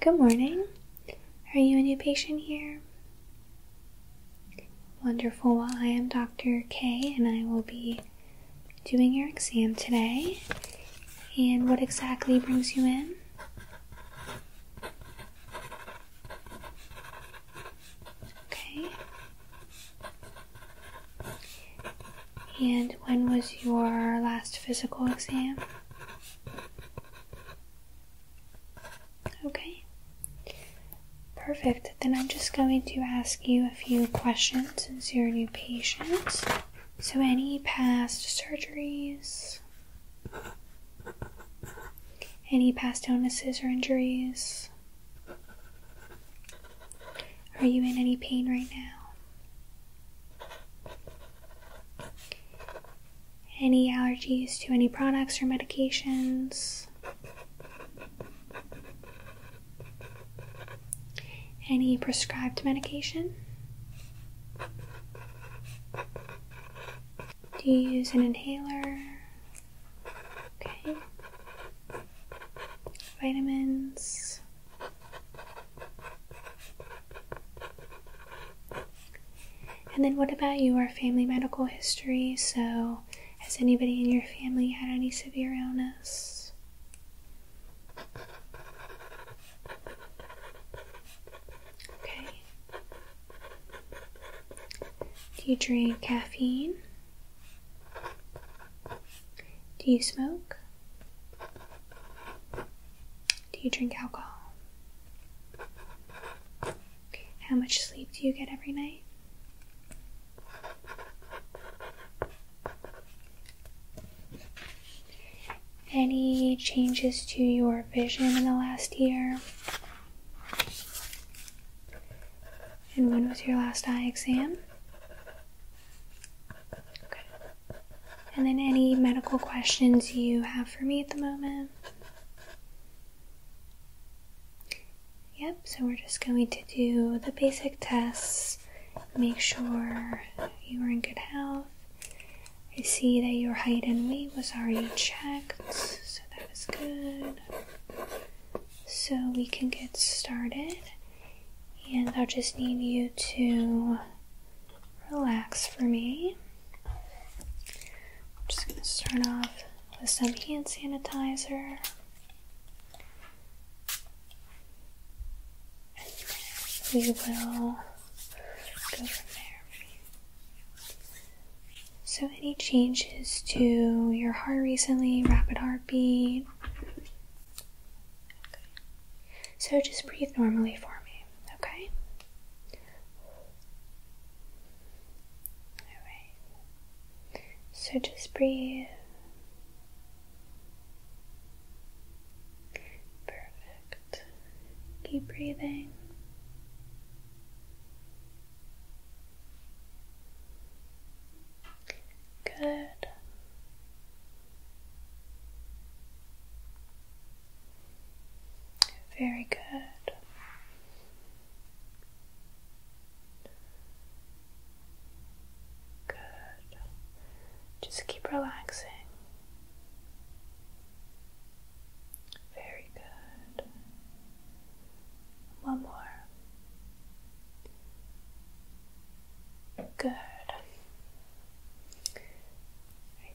Good morning. Are you a new patient here? Wonderful. Well, I am Dr. K, and I will be doing your exam today. And what exactly brings you in? Okay. And when was your last physical exam? Okay. Perfect. Then I'm just going to ask you a few questions since you're a new patient. So, any past surgeries? Any past illnesses or injuries? Are you in any pain right now? Any allergies to any products or medications? Any prescribed medication? Do you use an inhaler? Okay vitamins. And then, what about Our family medical history? So, has anybody in your family had any severe illness? Okay. Do you drink caffeine? Do you smoke? Do you drink alcohol? How much sleep do you get every night? Any changes to your vision in the last year? And when was your last eye exam? Okay. And then any medical questions you have for me at the moment? Yep, so we're just going to do the basic tests, make sure you are in good health. I see that your height and weight was already checked, so that is good. So we can get started. And I'll just need you to relax for me. I'm just going to start off with some hand sanitizer. we will go from there. So, any changes to your heart recently, rapid heartbeat, so just breathe normally for me, okay? Alright. So just breathe. Perfect. Keep breathing. Good. Very good. Good. Just keep relaxing. Very good. One more. Good.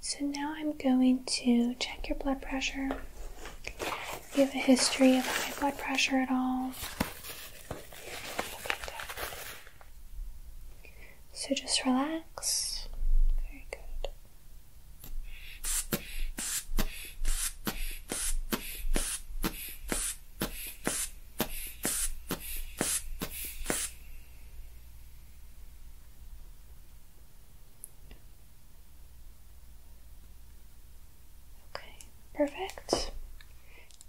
so now I'm going to check your blood pressure. you have a history of high blood pressure at all. So just relax. Very good. Okay, perfect.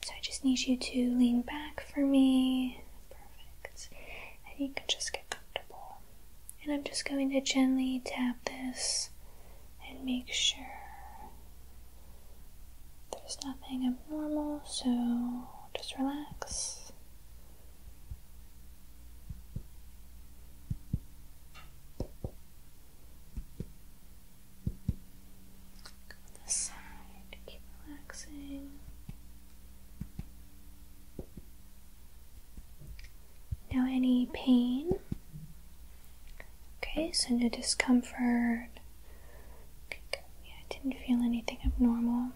So I just need you to lean back for me. Perfect. And you can just get comfortable. And I'm just going to gently tap this and make sure there's nothing abnormal, so just relax. this side, keep relaxing. Now, any pain Okay, so no discomfort. I didn't feel anything abnormal.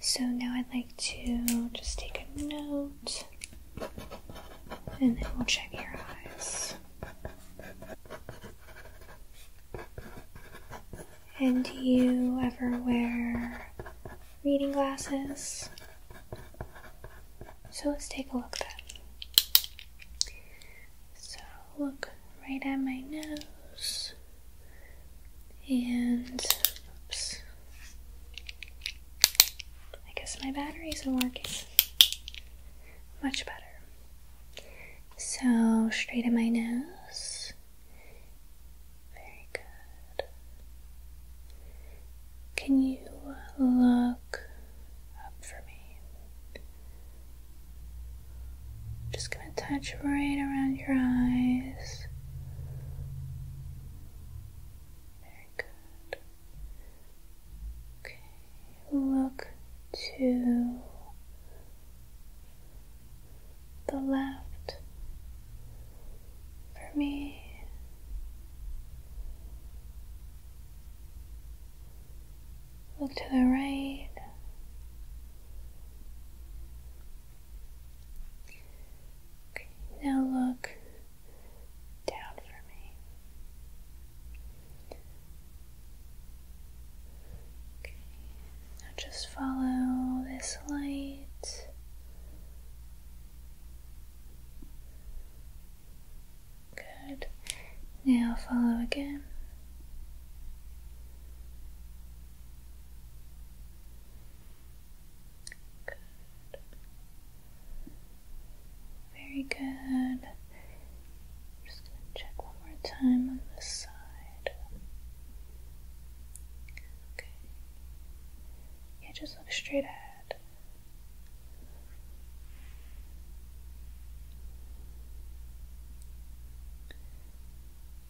So now I'd like to just take a note and then we'll check your eyes. And do you ever wear reading glasses? So let's take a look then. So look right at my nose and oops. I guess my battery isn't working. Much better. So straight at my nose. Very good. Can you look up for me? Just gonna touch right around your eyes. Very good. Okay, look to the left for me. Look to the right. now look down for me. now just follow this light. Good. Now follow again. Good. Very good. just going to check one more time on this side. Okay. Yeah, just look straight ahead.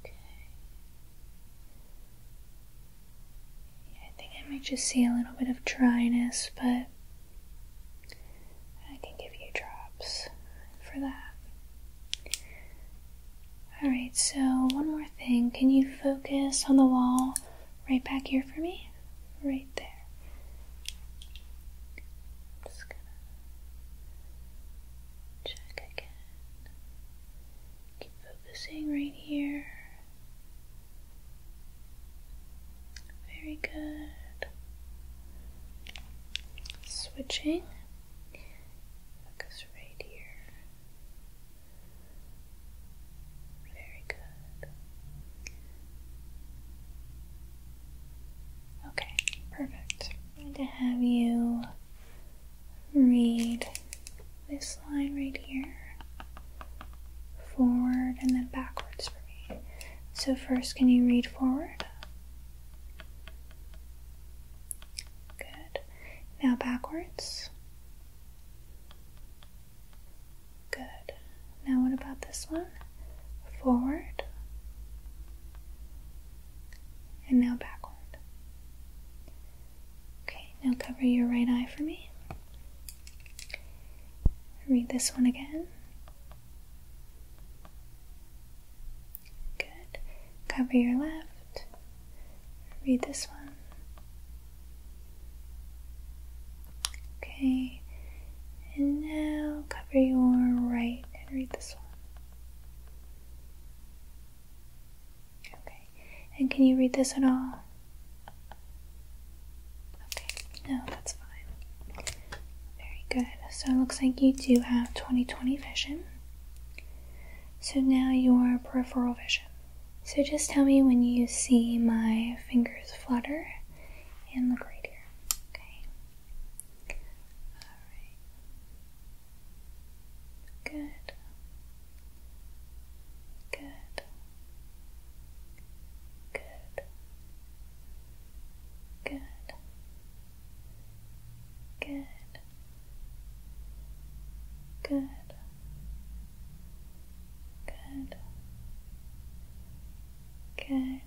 Okay. I think I might just see a little bit of dryness, but I can give you drops for that. Alright, so one more thing. Can you focus on the wall right back here for me? right there. just gonna check again. Keep focusing right here. Very good. Switching. Focus right here. Very good. Good. Okay, perfect. I'm going to have you read this line right here forward and then backwards for me. So, first, can you read forward? Good. Now backwards. Good. Now, what about this one? Forward. And now backward. Okay, now cover your right eye for me. Read this one again. Good. Cover your left. Read this one. Okay, and now cover your right and read this one. Okay, and can you read this at all? Okay, no, that's fine. Very good. So it looks like you do have twenty-twenty vision. So now your peripheral vision. So just tell me when you see my fingers flutter and look right here. Okay. Alright. Good. Good. Good. Good. Good. Good. Good.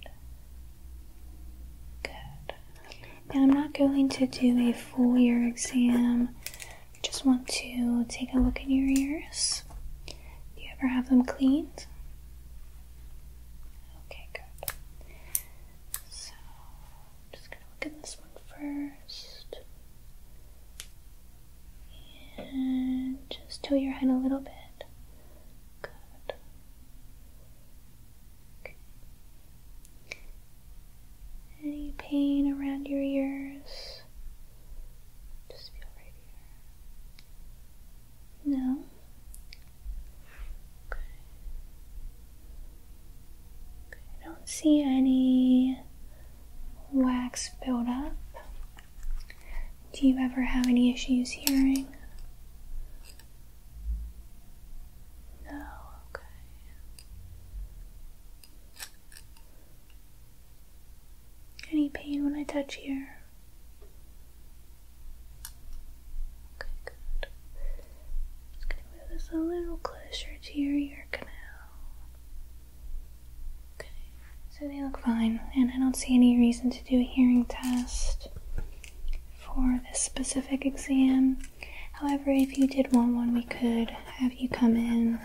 Good. Now I'm not going to do a full ear exam. just want to take a look at your ears. Do you ever have them cleaned? Okay, good. So just gonna look at this one first. And just tilt your head a little bit. Any pain around your ears? No. okay. I don't see any wax buildup. Do you ever have any issues hearing? No, okay. Any pain when I touch here? Okay, good. Just gonna move this a little closer to your ear canal. Okay, so they look fine, and I don't see any reason to do a hearing test for this specific exam. However, if you did want one, we could have you come in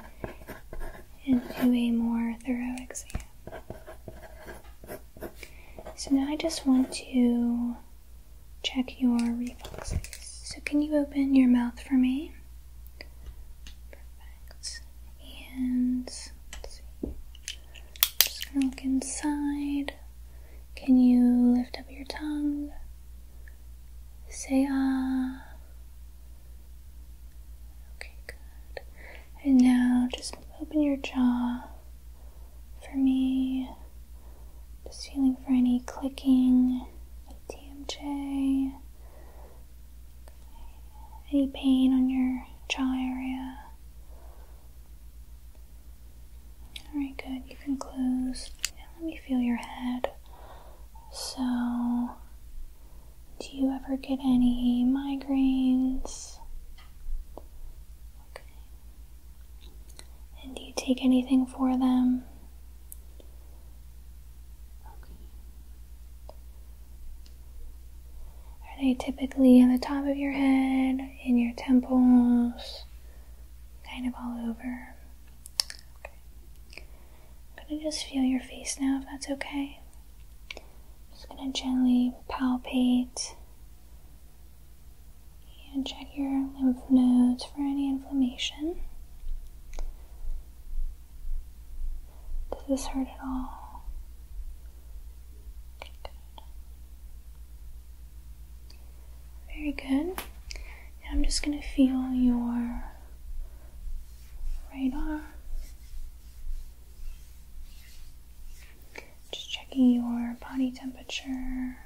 and do a more thorough exam. So now I just want to check your reflexes. So can you open your mouth for me? Perfect. And just look inside. Can you lift up your tongue? Say ah. Okay, good. And now just open your jaw for me. Just feeling for any clicking with TMJ. Any pain on your jaw area? Alright, good. You can close. Now let me feel your head. So, do you ever get any migraines? Okay. And do you take anything for them? Are they typically on the top of your head, in your temples, kind of all over? Okay. I'm gonna just feel your face now if that's okay. just gonna gently palpate and check your lymph nodes for any inflammation. Does this hurt at all? Very good. I'm just going to feel your radar. Just checking your body temperature.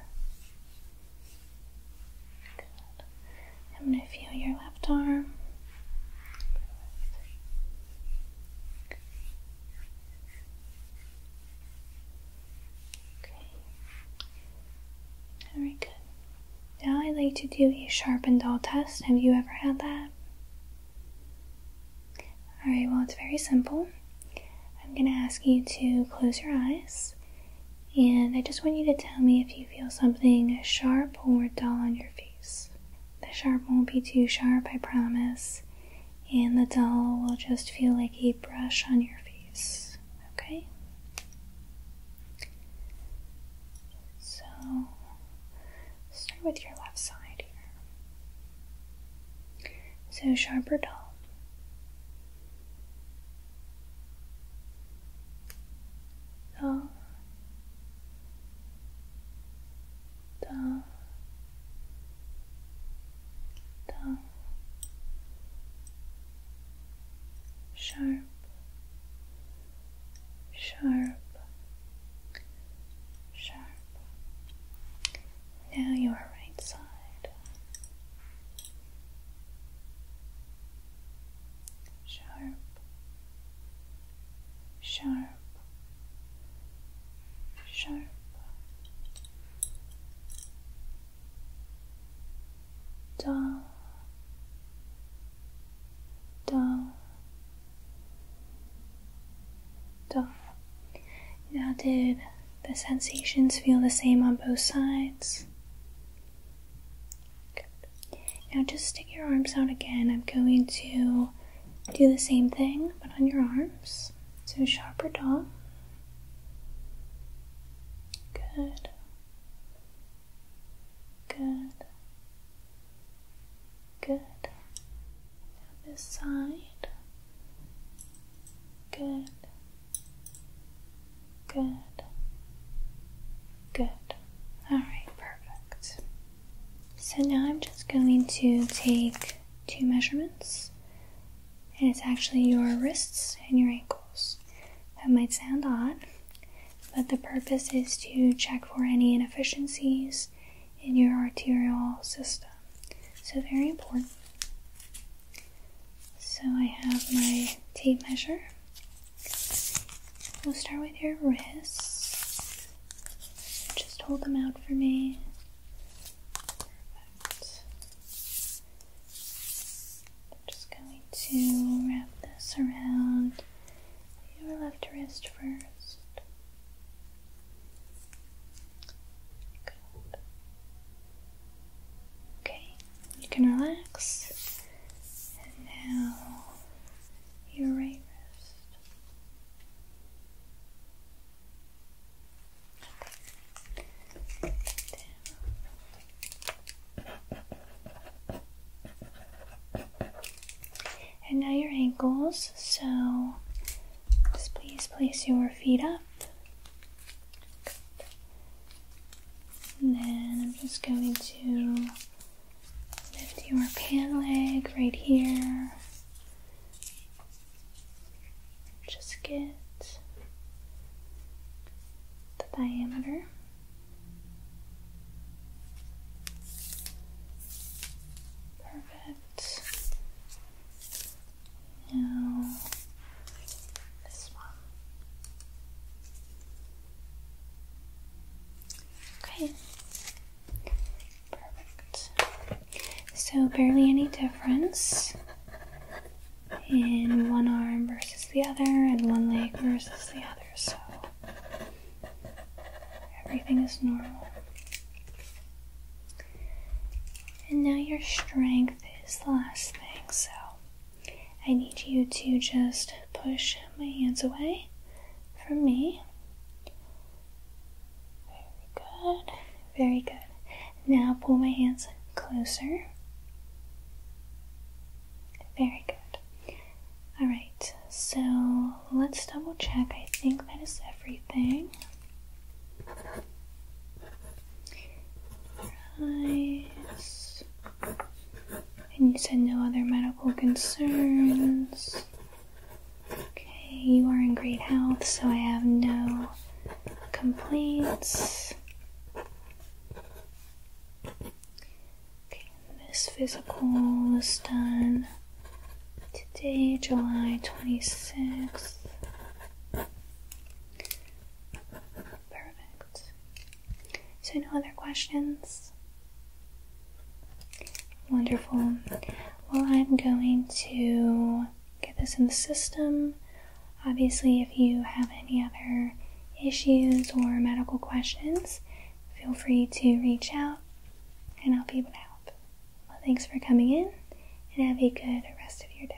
I'm going to feel your left arm. Okay. Very good. Now I'd like to do a sharp and dull test. Have you ever had that? Alright, well, it's very simple. I'm going to ask you to close your eyes, and I just want you to tell me if you feel something sharp or dull on your face. The sharp won't be too sharp, I promise, and the dull will just feel like a brush on your face. Okay? So, start with your left side here. So, sharp or dull? Dull down, down, sharp, sharp, sharp. Now your right side. Sharp, sharp, sharp, sharp. Dull, dull, Now, did the sensations feel the same on both sides? Good. Now just stick your arms out again. I'm going to do the same thing, but on your arms. So sharper dog. Good. Good. Good. this side. Good. Good. Good. All right, perfect. So now I'm just going to take two measurements, and it's actually your wrists and your ankles. That might sound odd, but the purpose is to check for any inefficiencies in your arterial system. So, very important. So, I have my tape measure. We'll start with your wrists. Just hold them out for me. just going to wrap this around your left wrist first. Okay, you can relax. now your right wrist. And now your ankles, so just please place your feet up. And then I'm just going to Lift your pan leg right here. Just get the diameter. Perfect. Now this one. Okay, Perfect. So, barely any difference in one arm versus the other, and one leg versus the other, so everything is normal. And now your strength is the last thing, so I need you to just push my hands away from me. Very good. Very good. Now pull my hands closer. Very good. Alright, so let's double check. I think that is everything. Eyes. And you said no other medical concerns. Okay, you are in great health, so I have no complaints. Okay, this physical was done today, July 26th. Perfect. So, no other questions? Wonderful. Well, I'm going to get this in the system. Obviously, if you have any other issues or medical questions, feel free to reach out and I'll be able to help. Well, thanks for coming in and have a good rest of your day.